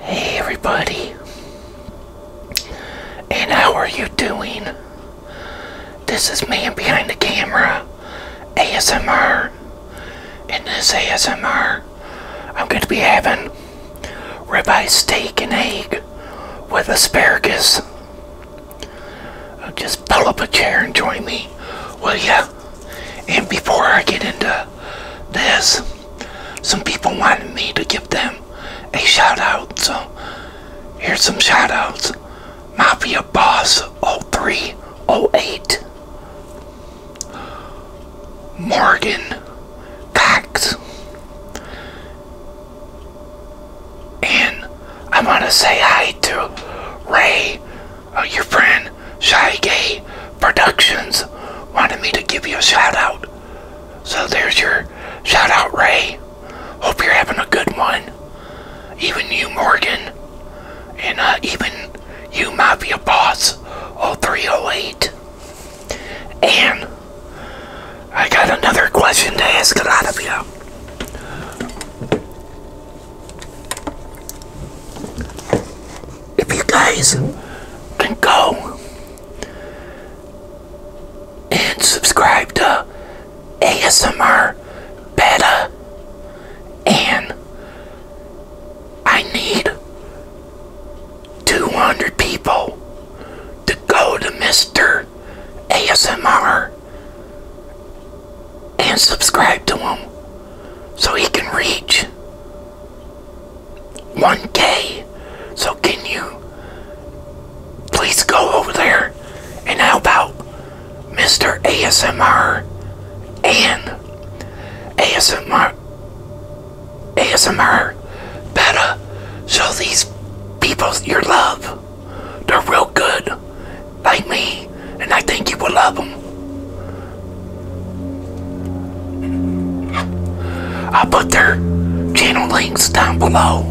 Hey everybody, and how are you doing? This is Man Behind the Camera ASMR. In this ASMR, I'm going to be having ribeye steak and egg with asparagus. Just pull up a chair and join me, Well, yeah. And before I get into this, some people wanted me to give them a shout out. So here's some shout outs Mafia Boss 0308, Morgan Cox. And I want to say hi to Ray Oh, your friend Shaggy Productions wanted me to give you a shout out. So there's your shout out, Ray. Hope you're having a good one. Even you, Morgan. And uh, even you, Mafia Boss 0308. And I got another question to ask a lot of you. If you guys can go and subscribe to ASMR Beta and I need 200 people to go to Mr. ASMR and subscribe to him so he can reach 1K. So can you please go over there and help out Mr. ASMR and ASMR ASMR better Show these people your love. They're real good, like me and I think you will love them. I'll put their channel links down below.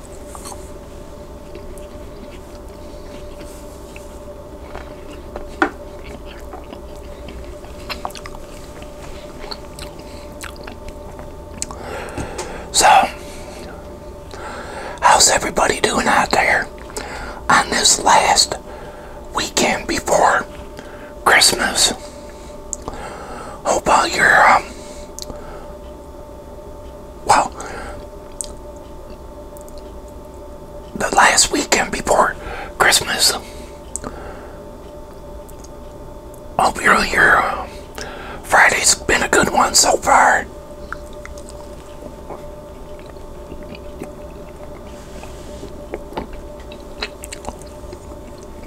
So, how's everybody doing out there on this last weekend before Christmas? Hope all your um, well, the last weekend before Christmas. Hope your, your uh, Friday's been a good one so far.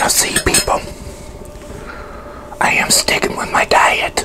I see people, I am sticking with my diet.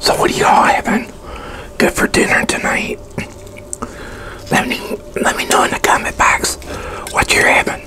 So what are y'all having good for dinner tonight? Let me let me know in the comment box what you're having.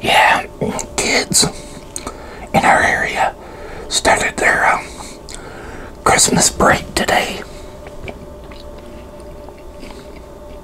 Yeah, kids in our area started their um, Christmas break today.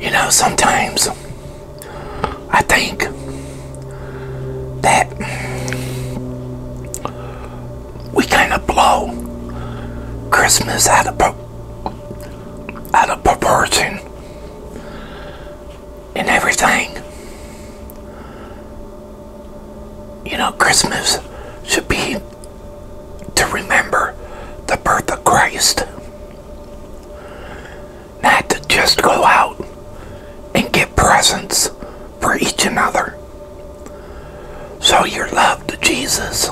You know, sometimes I think that we kind of blow Christmas out of out of proportion and everything. You know, Christmas should be to remember the birth of Christ not to just go out and get presents for each another. So your love to Jesus.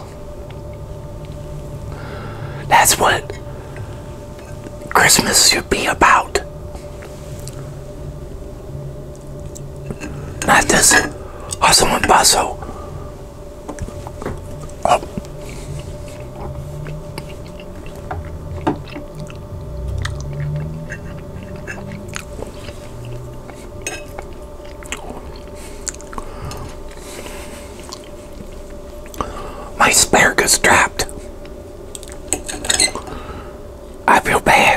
That's what Christmas should be about. Not this hustle and bustle. Oh. My asparagus trapped. I feel bad.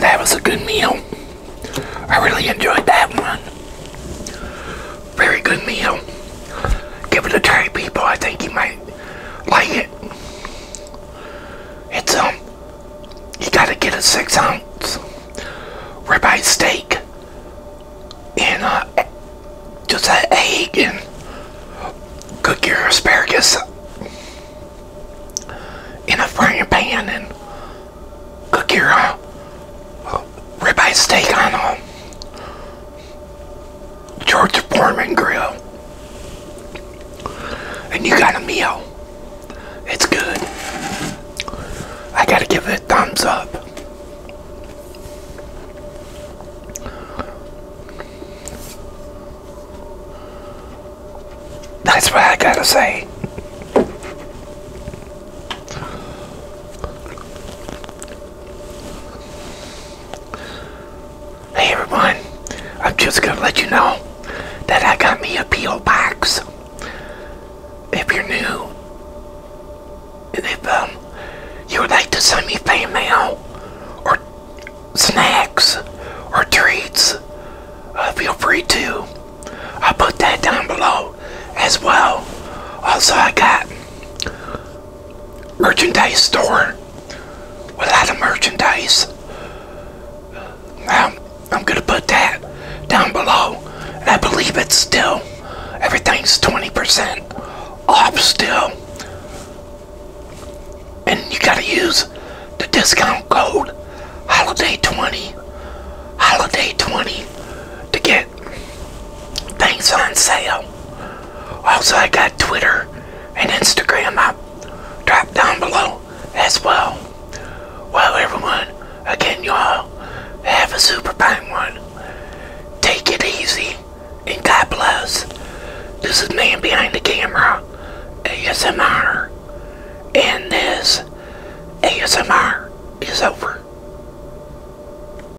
that was a good meal. I really enjoyed that one very good meal. Give it a try, people. I think you might like it. It's, um, you gotta get a six ounce ribeye steak and, uh, just an egg and cook your asparagus in a frying pan and cook your, uh, ribeye steak on a um, George Foreman grill. And you got a meal. It's good. I gotta give it a thumbs up. That's what I gotta say. Hey everyone, I'm just going to let you know that I got me a P.O. box. If you're new, and if um, you would like to send me fan mail or snacks or treats, uh, feel free to. i put that down below as well. Also, I got merchandise store with a lot of merchandise. Um, I'm going to put that down below. And I believe it's still, everything's 20% off still. And you got to use the discount code HOLIDAY20, HOLIDAY20 to get get things on sale. Also, I got Twitter and Instagram up. Drop down below as well. Well, everyone, again, y'all have a super fine one. Take it easy and God bless. This is man behind the camera, ASMR, and this ASMR is over.